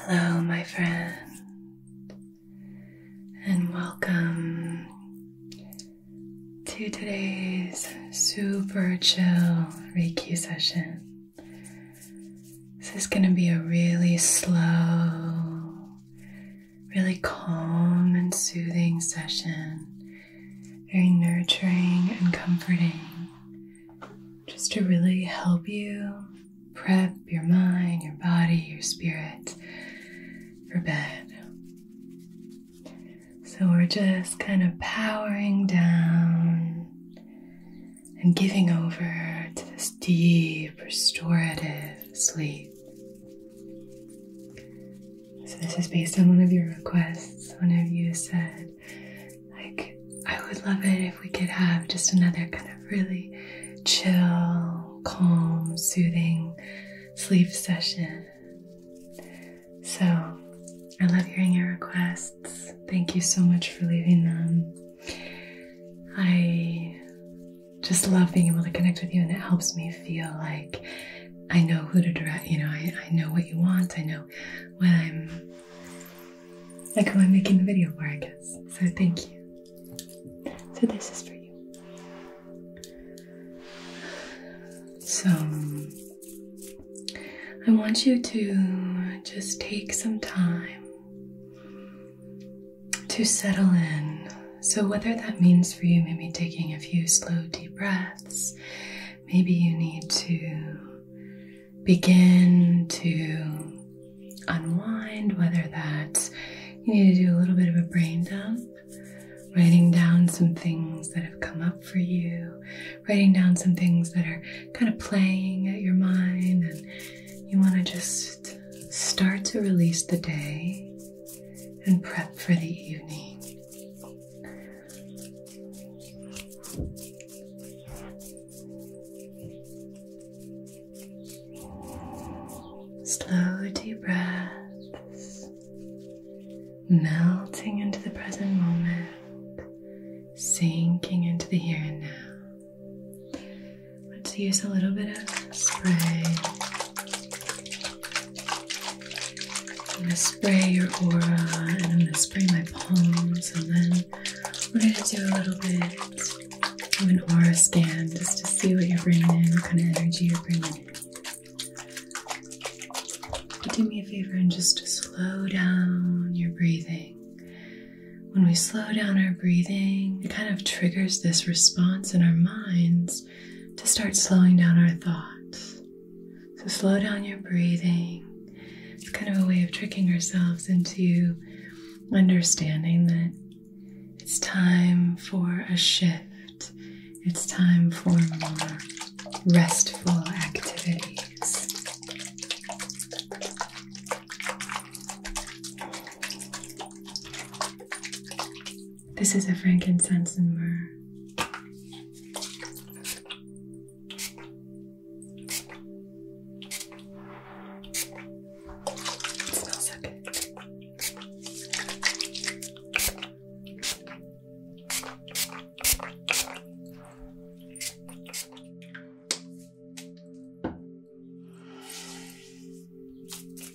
Hello, my friend, and welcome to today's super chill Reiki session. This is going to be a really slow really calm and soothing session, very nurturing and comforting, just to really help you prep your mind, your body, your spirit for bed. So we're just kind of powering down and giving over to this deep, restorative sleep. So, this is based on one of your requests. One of you said, like, I would love it if we could have just another kind of really chill, calm, soothing sleep session. So, I love hearing your requests. Thank you so much for leaving them. I just love being able to connect with you and it helps me feel like I know who to direct, you know, I, I know what you want, I know what I'm like who I'm making the video for, I guess. So thank you. So this is for you. So I want you to just take some time to settle in. So, whether that means for you maybe taking a few slow, deep breaths, maybe you need to begin to unwind, whether that's you need to do a little bit of a brain dump, writing down some things that have come up for you, writing down some things that are kind of playing at your mind, and you want to just start to release the day and prep for the evening. Slow deep breaths, melting into the present moment, sinking into the here and now. Let's use a little bit of spray I'm gonna spray your aura and I'm gonna spray my palms and then we're gonna do a little bit of an aura scan just to see what you're bringing in, what kind of energy you're bringing in. do me a favor and just slow down your breathing. When we slow down our breathing, it kind of triggers this response in our minds to start slowing down our thoughts. So, slow down your breathing. It's kind of a way of tricking ourselves into understanding that it's time for a shift, it's time for more restful activities. This is a frankincense and myrrh. smells so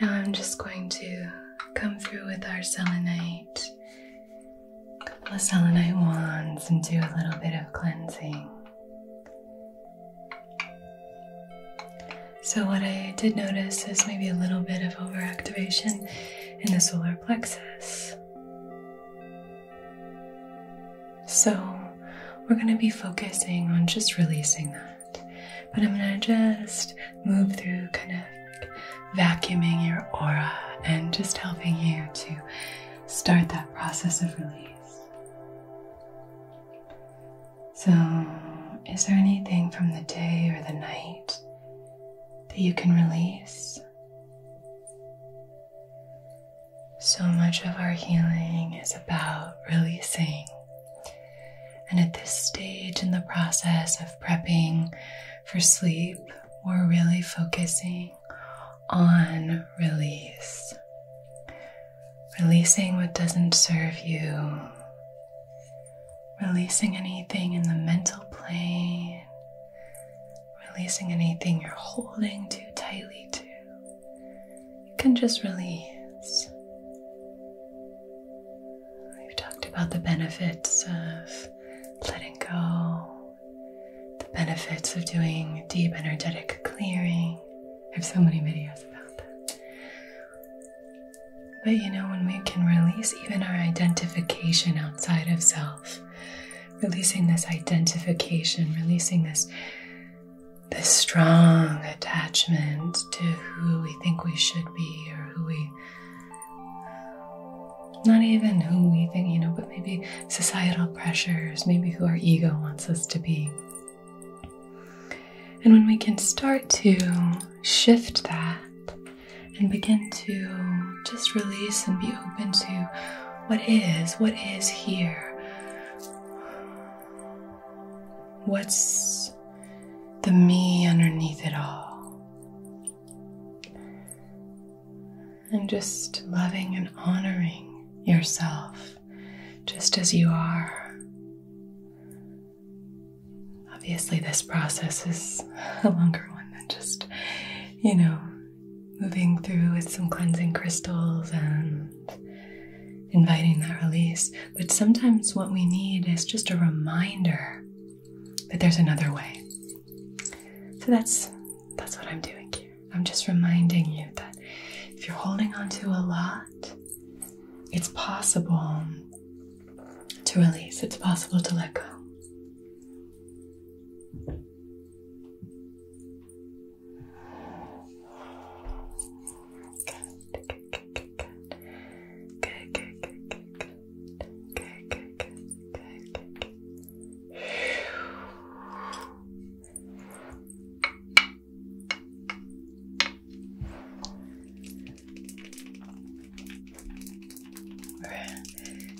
Now I'm just going to come through with our selenite, a couple of selenite wands, and do a little bit of cleansing. So, what I did notice is maybe a little bit of overactivation in the solar plexus. So, we're going to be focusing on just releasing that. But I'm gonna just move through kind of vacuuming your aura and just helping you to start that process of release. So, is there anything from the day or the night that you can release? So much of our healing is about releasing and at this stage in the process of prepping for sleep, we're really focusing on release. Releasing what doesn't serve you, releasing anything in the mental plane, releasing anything you're holding too tightly to. You can just release. We've talked about the benefits of letting go, the benefits of doing deep energetic clearing. I have so many videos about that. But you know, when we can release even our identification outside of self, releasing this identification, releasing this this strong attachment to who we think we should be or who we not even who we think, you know, but maybe societal pressures, maybe who our ego wants us to be. And when we can start to shift that and begin to just release and be open to what is, what is here, what's the me underneath it all. And just loving and honoring yourself just as you are. Obviously, this process is a longer one than just, you know, moving through with some cleansing crystals and inviting that release. But sometimes what we need is just a reminder that there's another way. So that's that's what I'm doing here. I'm just reminding you that if you're holding on to a lot, it's possible to release. It's possible to let go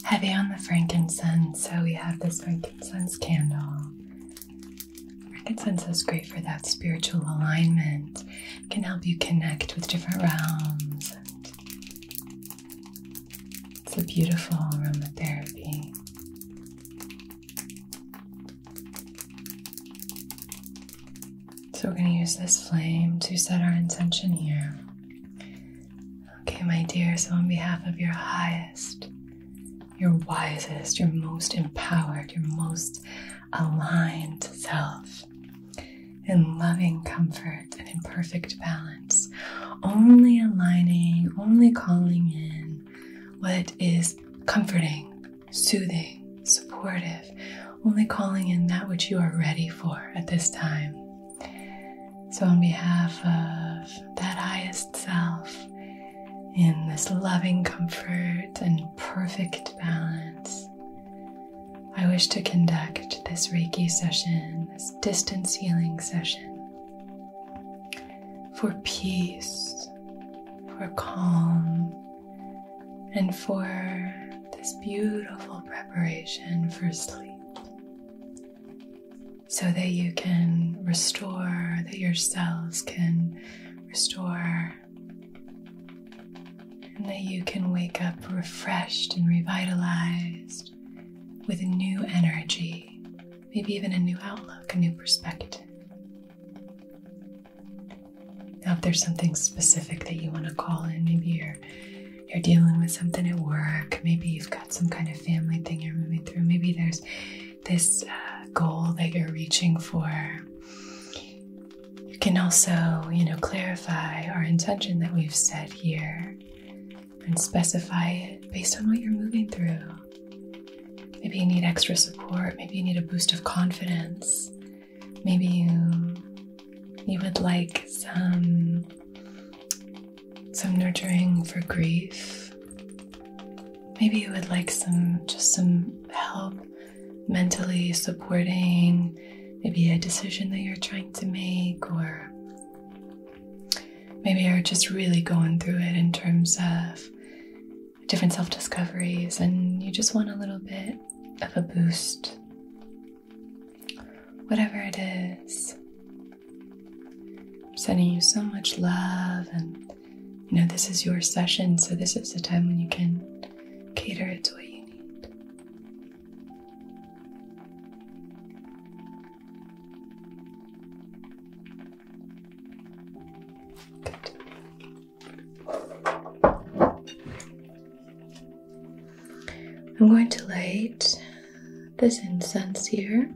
heavy on the frankincense, so we have this frankincense candle. Frankincense is great for that spiritual alignment can help you connect with different realms. it's a beautiful aromatherapy. So we're going to use this flame to set our intention here. Okay, my dear, so on behalf of your highest, your wisest, your most empowered, your most aligned self in loving comfort and in perfect balance, only aligning, only calling in what is comforting, soothing, supportive, only calling in that which you are ready for at this time. So, on behalf of that highest self, in this loving comfort and perfect balance, I wish to conduct this Reiki session, this distance healing session, for peace, for calm, and for this beautiful preparation for sleep. So that you can restore, that your cells can restore and that you can wake up refreshed and revitalized with a new energy, maybe even a new outlook, a new perspective. Now, if there's something specific that you want to call in, maybe you're you're dealing with something at work, maybe you've got some kind of family thing you're moving through, maybe there's this uh, goal that you're reaching for you can also, you know, clarify our intention that we've set here and specify it based on what you're moving through. Maybe you need extra support, maybe you need a boost of confidence, maybe you you would like some some nurturing for grief. Maybe you would like some just some help mentally supporting maybe a decision that you're trying to make, or maybe you're just really going through it in terms of different self discoveries and you just want a little bit of a boost. Whatever it is, I'm sending you so much love and you know this is your session so this is the time when you can cater it to what you need. I'm going to light this incense here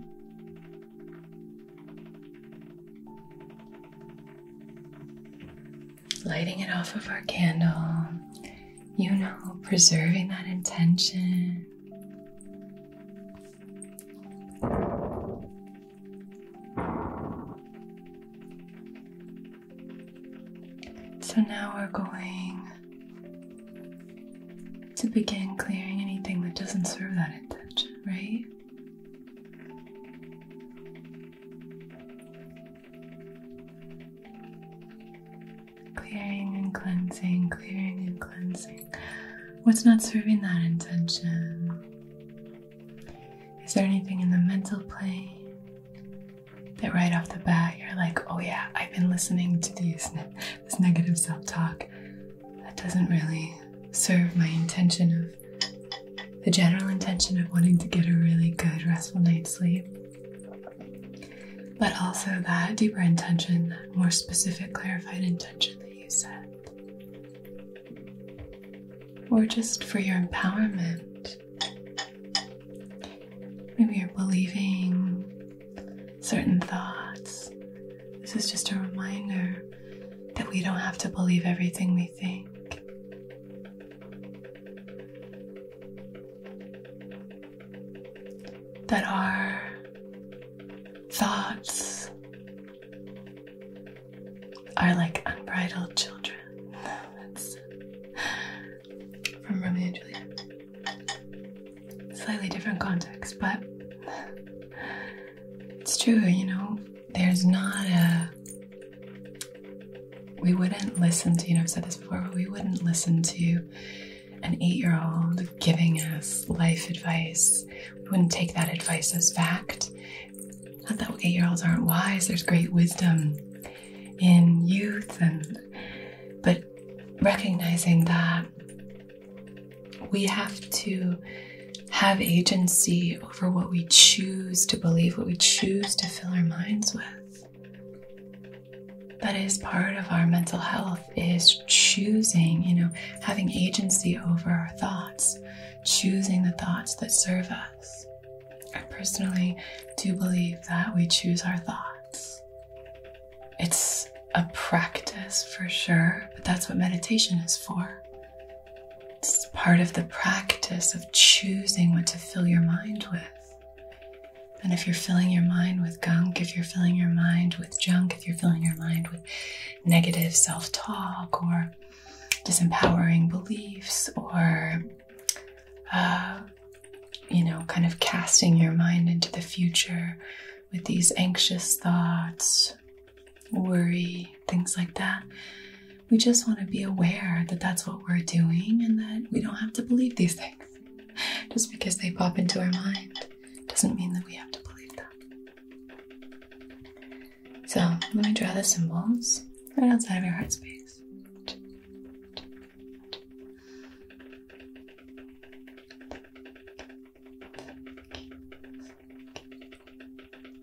lighting it off of our candle, you know, preserving that intention. So now we're going to begin clearing anything that doesn't serve that intention, right? Clearing and cleansing, clearing and cleansing. What's not serving that intention? Is there anything in the mental plane that right off the bat you're like, oh yeah, I've been listening to these, this negative self talk that doesn't really serve my intention of the general intention of wanting to get a really good, restful night's sleep, but also that deeper intention, that more specific, clarified intention that you set. Or just for your empowerment. Maybe you're believing certain thoughts. This is just a reminder that we don't have to believe everything we think that our thoughts are like unbridled children. from Romeo and Juliet. Slightly different context, but it's true, you know there's not a we wouldn't listen to you know I've said this before but we wouldn't listen to an eight-year-old giving us life advice we wouldn't take that advice as fact not that eight-year-olds aren't wise there's great wisdom in youth and but recognizing that we have to have agency authority over what we choose to believe, what we choose to fill our minds with. That is part of our mental health is choosing, you know, having agency over our thoughts, choosing the thoughts that serve us. I personally do believe that we choose our thoughts. It's a practice for sure, but that's what meditation is for. It's part of the practice of choosing what to fill your mind with. And if you're filling your mind with gunk, if you're filling your mind with junk, if you're filling your mind with negative self talk or disempowering beliefs or, uh, you know, kind of casting your mind into the future with these anxious thoughts, worry, things like that, we just want to be aware that that's what we're doing and that we don't have to believe these things. Just because they pop into our mind doesn't mean that we have to believe them. So, let me draw the symbols right outside of your heart space.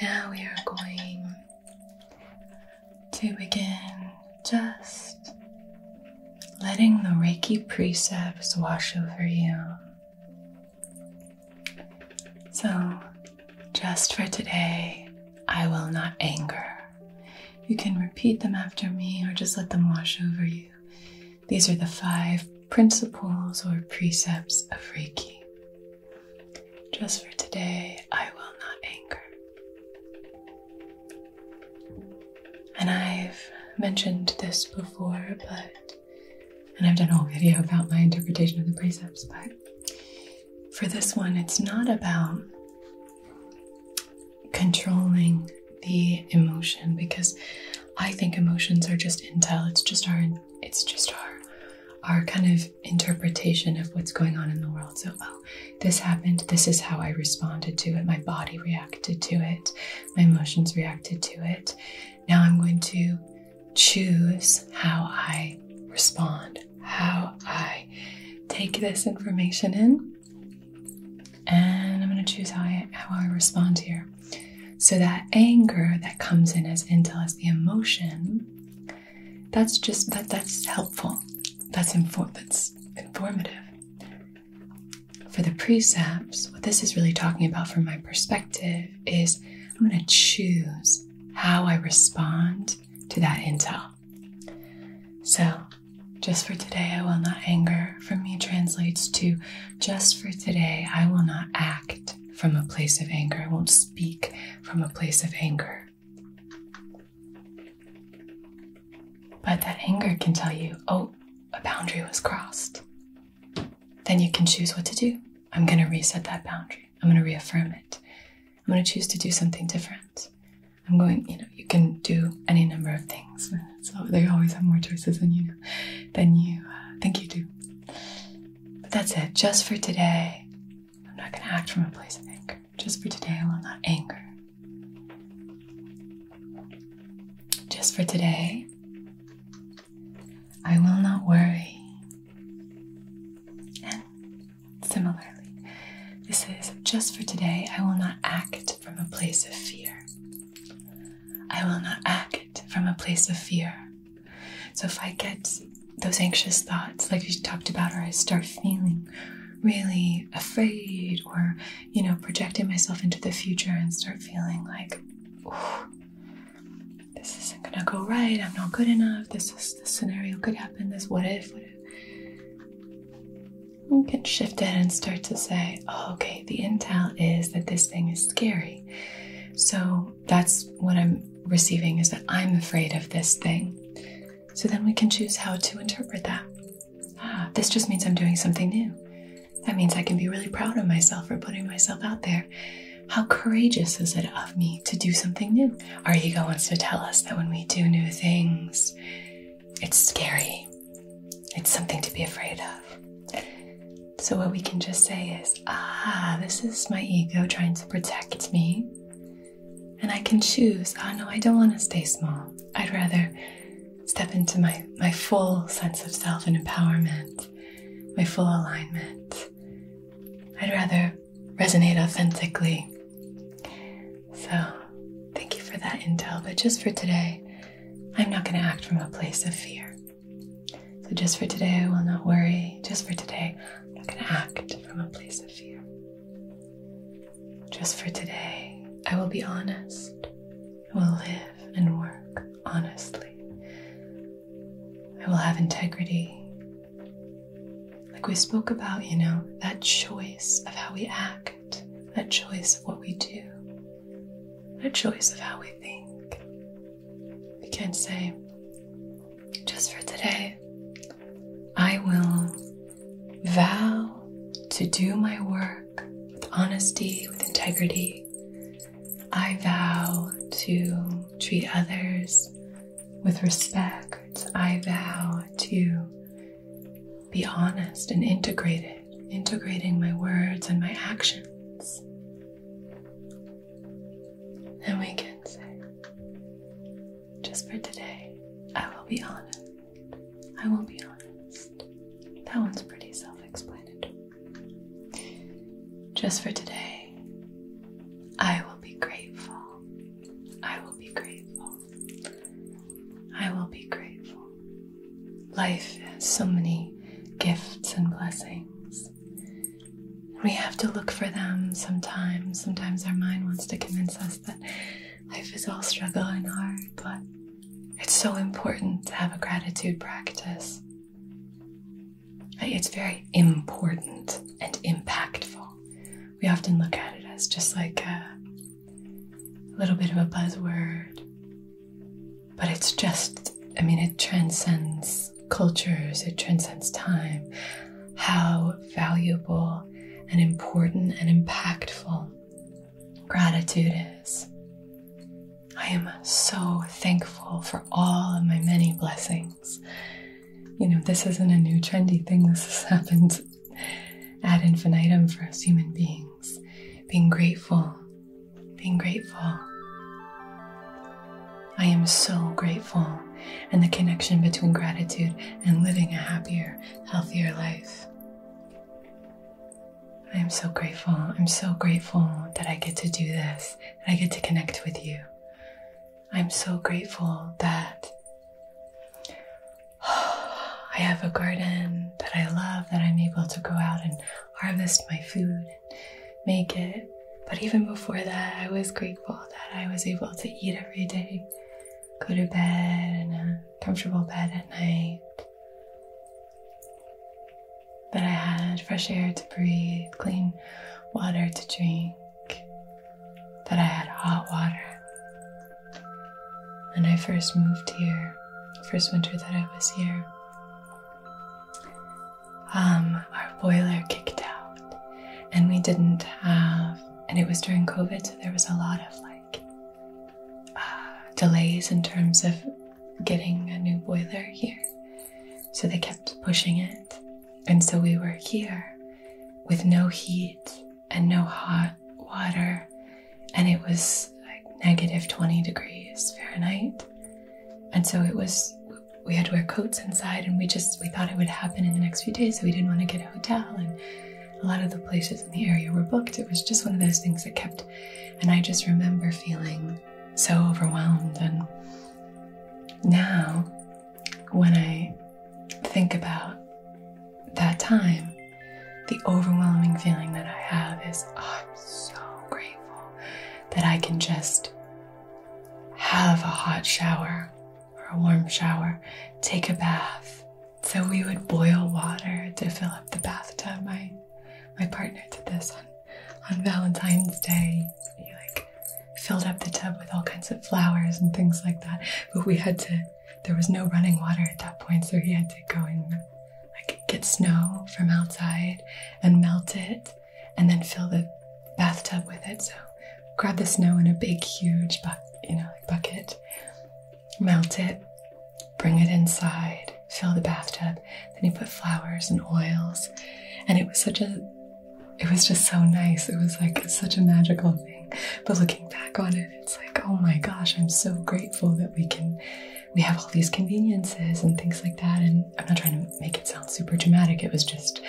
Now we are going to begin just letting the Reiki precepts wash over you. So, just for today, I will not anger. You can repeat them after me or just let them wash over you. These are the five principles or precepts of Reiki. Just for today, I will not anger. And I've mentioned this before, but, and I've done a whole video about my interpretation of the precepts, but for this one, it's not about controlling the emotion because I think emotions are just intel. It's just our it's just our our kind of interpretation of what's going on in the world. So, oh, this happened. This is how I responded to it. My body reacted to it. My emotions reacted to it. Now I'm going to choose how I respond, how I take this information in. And I'm going to choose how I, respond here. So, that anger that comes in as intel as the emotion, that's just that that's helpful. That's inform that's informative. For the precepts, what this is really talking about from my perspective is I'm going to choose how I respond to that intel. So, just for today, I will not anger. For me, translates to just for today, I will not act from a place of anger. I won't speak from a place of anger. But that anger can tell you, oh, a boundary was crossed. Then you can choose what to do. I'm going to reset that boundary. I'm going to reaffirm it. I'm going to choose to do something different. I'm going, you know, you can do any number of things so they always have more choices than you than you uh, think you do. But that's it, just for today. I'm not going to act from a place of anger. Just for today, I will not anger. Just for today, I will not worry. And similarly, this is just for today, I will not act from a place of fear. I will not act from a place of fear. So if I get those anxious thoughts, like we talked about, or I start feeling really afraid or, you know, projecting myself into the future and start feeling like, this isn't gonna go right, I'm not good enough, this is this scenario could happen, this what if, what if you can and start to say, Oh, okay, the intel is that this thing is scary. So that's what I'm receiving is that I'm afraid of this thing. So then we can choose how to interpret that. Ah, this just means I'm doing something new. That means I can be really proud of myself for putting myself out there. How courageous is it of me to do something new? Our ego wants to tell us that when we do new things, it's scary. It's something to be afraid of. So, what we can just say is, ah, this is my ego trying to protect me. And I can choose, ah, no, I don't want to stay small. I'd rather step into my, my full sense of self and empowerment, my full alignment. I'd rather resonate authentically. So, thank you for that intel. But just for today, I'm not going to act from a place of fear. So, just for today, I will not worry. Just for today, I'm not going to act from a place of fear. Just for today, I will be honest. I will live and work honestly. I will have integrity. Like we spoke about, you know, that choice of how we act, that choice of what we do, a choice of how we think. We can say, just for today, I will vow to do my work with honesty, with integrity. I vow to treat others with respect. I vow to be honest and integrated integrating my words and my actions. And we can say, just for today, I will be honest. I will be honest. That one's pretty self explanatory. Just for today, I will be grateful. I will be grateful. I will be grateful. Life has so many gifts and blessings. We have to look for them sometimes. Sometimes our mind wants to convince us that life is all struggle and hard, but it's so important to have a gratitude practice. It's very important and impactful. We often look at it as just like a little bit of a buzzword but it's just, I mean, it transcends cultures, it transcends time. How valuable and important and impactful gratitude is. I am so thankful for all of my many blessings. You know, this isn't a new trendy thing, this has happened ad infinitum for us human beings. Being grateful being grateful. I am so grateful, and the connection between gratitude and living a happier, healthier life. I am so grateful. I'm so grateful that I get to do this, that I get to connect with you. I'm so grateful that I have a garden that I love, that I'm able to go out and harvest my food make it. But even before that, I was grateful that I was able to eat every day, go to bed in a comfortable bed at night, that I had fresh air to breathe, clean water to drink, that I had hot water. When I first moved here, first winter that I was here. Um, our boiler kicked out and we didn't have, and it was during COVID, so there was a lot of like uh, delays in terms of getting a new boiler here. So they kept pushing it. And so we were here with no heat and no hot water. And it was like negative 20 degrees Fahrenheit. And so it was, we had to wear coats inside and we just, we thought it would happen in the next few days. So we didn't want to get a hotel. And a lot of the places in the area were booked. It was just one of those things that kept, and I just remember feeling so overwhelmed. And now when I think about that time, the overwhelming feeling that I have is oh, I'm so grateful that I can just have a hot shower or a warm shower, take a bath. So we would boil water to fill up the bathtub. My my partner did this on, on Valentine's Day. like filled up the tub with all kinds of flowers and things like that. But we had to there was no running water at that point, so he had to go in I could get snow from outside and melt it and then fill the bathtub with it. So grab the snow in a big, huge you know, bucket, melt it, bring it inside, fill the bathtub. Then you put flowers and oils. And it was such a, it was just so nice. It was like such a magical thing. But looking back on it, it's like, oh my gosh, I'm so grateful that we can we have all these conveniences and things like that. And I'm not trying to make it sound super dramatic, it was just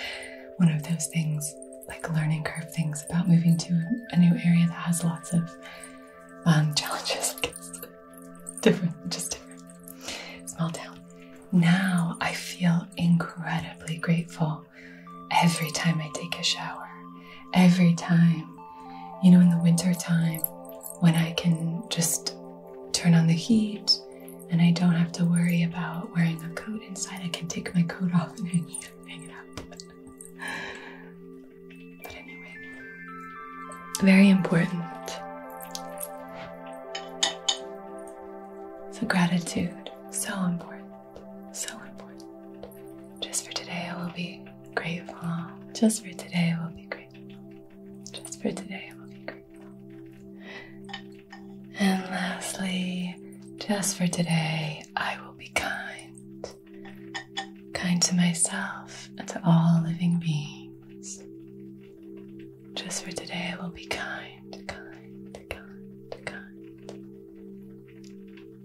one of those things, like learning curve things about moving to a new area that has lots of um, challenges. different, just different. Small town. Now I feel incredibly grateful every time I take a shower, every time. You know, in the winter time, when I can just turn on the heat and I don't have to worry about wearing a coat inside. I can take my coat off and hang it, up. but anyway, very important. So, gratitude, so important, so important. Just for today, I will be grateful. Just for today, I will be grateful. Just for today, I will be grateful. And lastly, just for today, I will be kind. Kind to myself and to all living beings. Just for today, I will be kind, kind, kind, kind.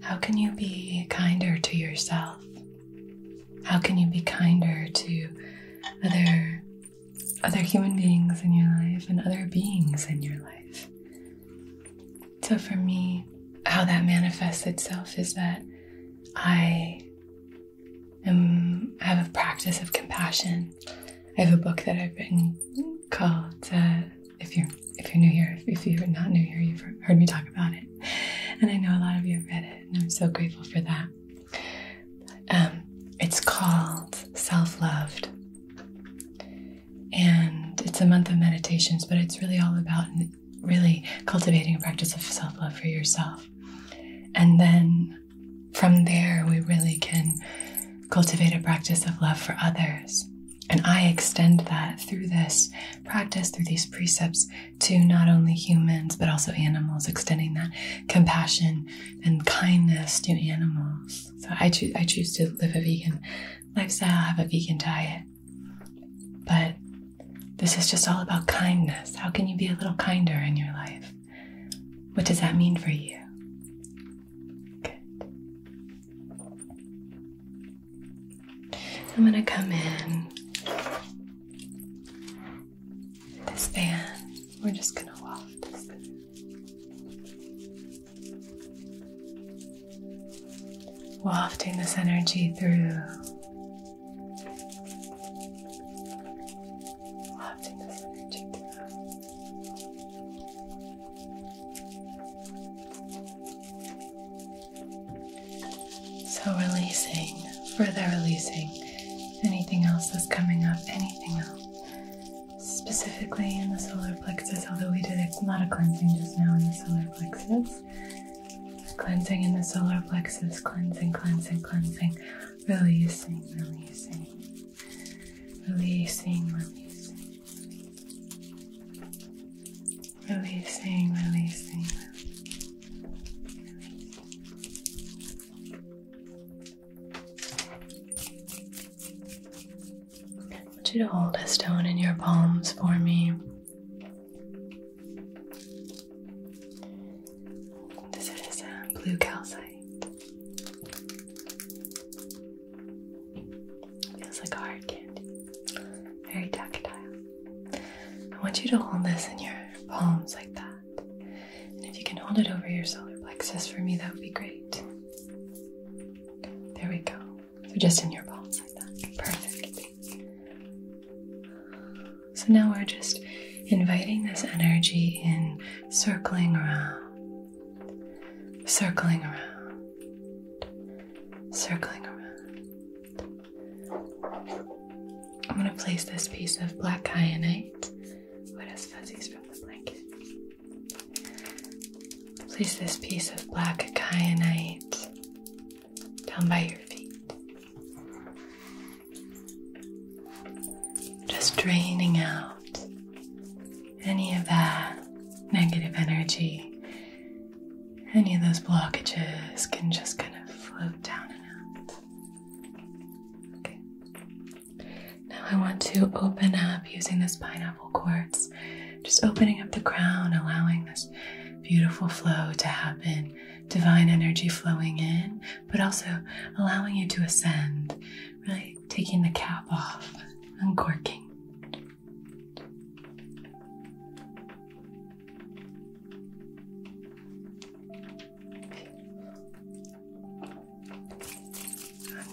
How can you be kinder to yourself? How can you be kinder to other other human beings in your life and other beings in your life? So for me, how that manifests itself is that I am have a practice of compassion. I have a book that I've written called uh, "If You're If You're New Here." if you're not new here, you've heard me talk about it, and I know a lot of you have read it, and I'm so grateful for that. Um, it's called Self Loved. And it's a month of meditations, but it's really all about really cultivating a practice of self love for yourself. And then from there, we really can cultivate a practice of love for others. And I extend that through this practice, through these precepts, to not only humans but also animals, extending that compassion and kindness to animals. So I choose I choose to live a vegan lifestyle, I have a vegan diet. But this is just all about kindness. How can you be a little kinder in your life? What does that mean for you? Good. I'm going to come in this band, we're just gonna waft Wafting this energy through. Wafting this energy through. So, releasing, further releasing anything else that's coming up, anything else. Specifically in the solar plexus, although we did a lot of cleansing just now in the solar plexus. Cleansing in the solar plexus, cleansing, cleansing, cleansing, releasing, releasing, releasing, releasing, releasing, releasing. releasing. I want you to hold a stone in your palms for me. This is blue calcite. Feels like a hard candy. Very tactile. I want you to hold this in your palms like that. And if you can hold it over your solar plexus for me, that would be great. There we go. So just in your palms like that. Perfect. So now we're just inviting this energy in, circling around, circling around, circling around. I'm going to place this piece of black kyanite, what does fuzzies from the blanket. Place this piece of black kyanite down by your feet. Just draining out any of that negative energy. Any of those blockages can just kind of float down and out. Now I want to open up using this pineapple quartz, just opening up the crown, allowing this beautiful flow to happen, divine energy flowing in, but also allowing you to ascend, really taking the cap off, uncorking.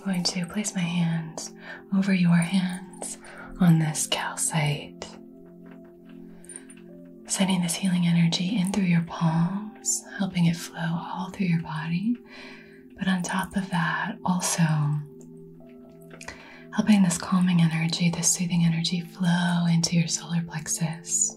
I'm going to place my hands over your hands on this calcite, sending this healing energy in through your palms, helping it flow all through your body. But on top of that, also helping this calming energy, this soothing energy flow into your solar plexus.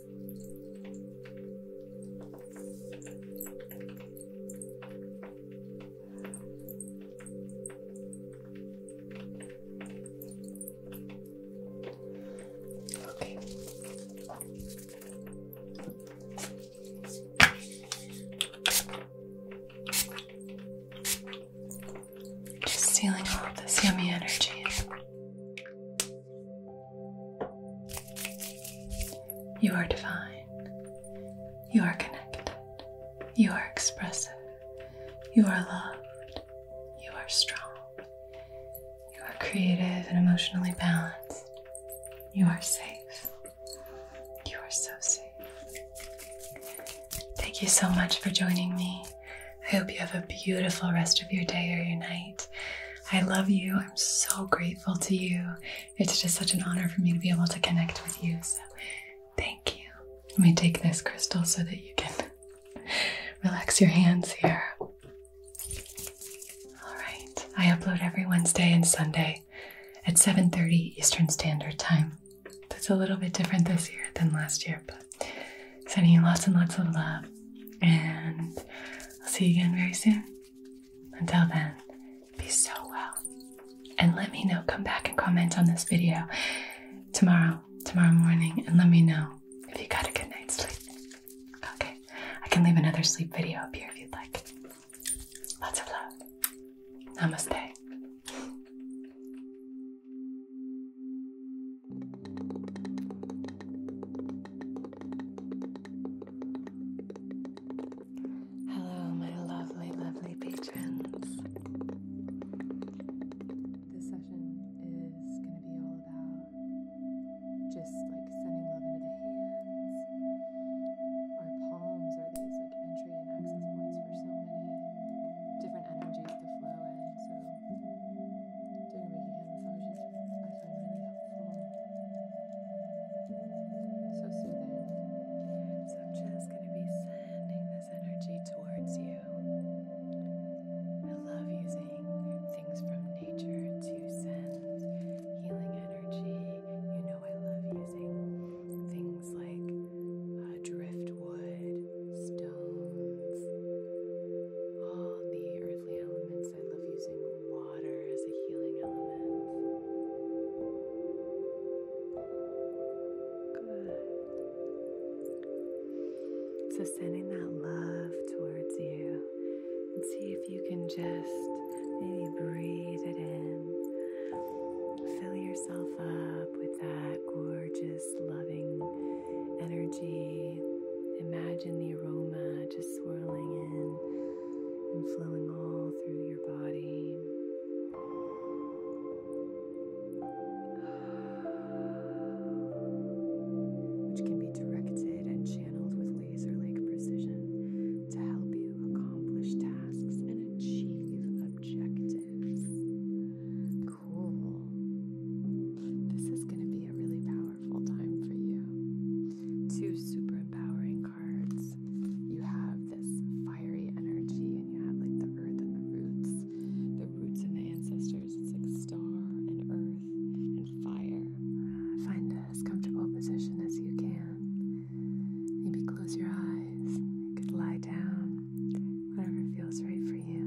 Okay. Just stealing all of this yummy energy. You are divine. You are connected. You are expressive. You are loved. You are strong. You are creative and emotionally balanced. You are safe. You are so safe. Thank you so much for joining me. I hope you have a beautiful rest of your day or your night. I love you. I'm so grateful to you. It's just such an honor for me to be able to connect with you. So thank you. Let me take this crystal so that you can relax your hands here. All right. I upload every Wednesday and Sunday at 7:30 Eastern Standard Time. That's a little bit different this year than last year, but sending you lots and lots of love and I'll see you again very soon. Until then, be so well. And let me know, come back and comment on this video tomorrow, tomorrow morning, and let me know if you got a good night's sleep. Okay, I can leave another sleep video up here if you'd like. Lots of love. Namaste. Hello, my lovely, lovely patrons. This session is going to be all about just like sending love into the hands. Our palms are these like entry and access points for so many different energies to flow in. So Doing Reiki hand I find really helpful. So soothing. So I'm just going to be sending this energy towards you. I love using things from nature to send healing energy. You know, I love using things like uh, driftwood, stones all the earthly elements. I love using water as a healing element. Good. So, sending that love towards you. And see if you can just maybe breathe it in. Fill yourself up with that gorgeous, loving energy. Imagine the aroma just swirling in and flowing all through your body. Which can be directed and channeled with laser like precision to help you accomplish tasks and achieve objectives. Cool. This is going to be a really powerful powerful time for you. Two super empowering cards. You have this fiery energy, and you have like the earth and the roots, the roots and the ancestors. It's like star and earth and fire. Find as comfortable position as you can. Maybe close your eyes. You could lie down. Whatever feels right for you.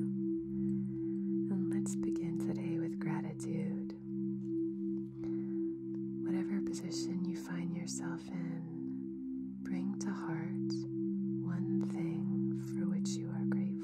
And let's begin today with gratitude. Whatever position you find yourself in, bring to heart one thing for which you are grateful.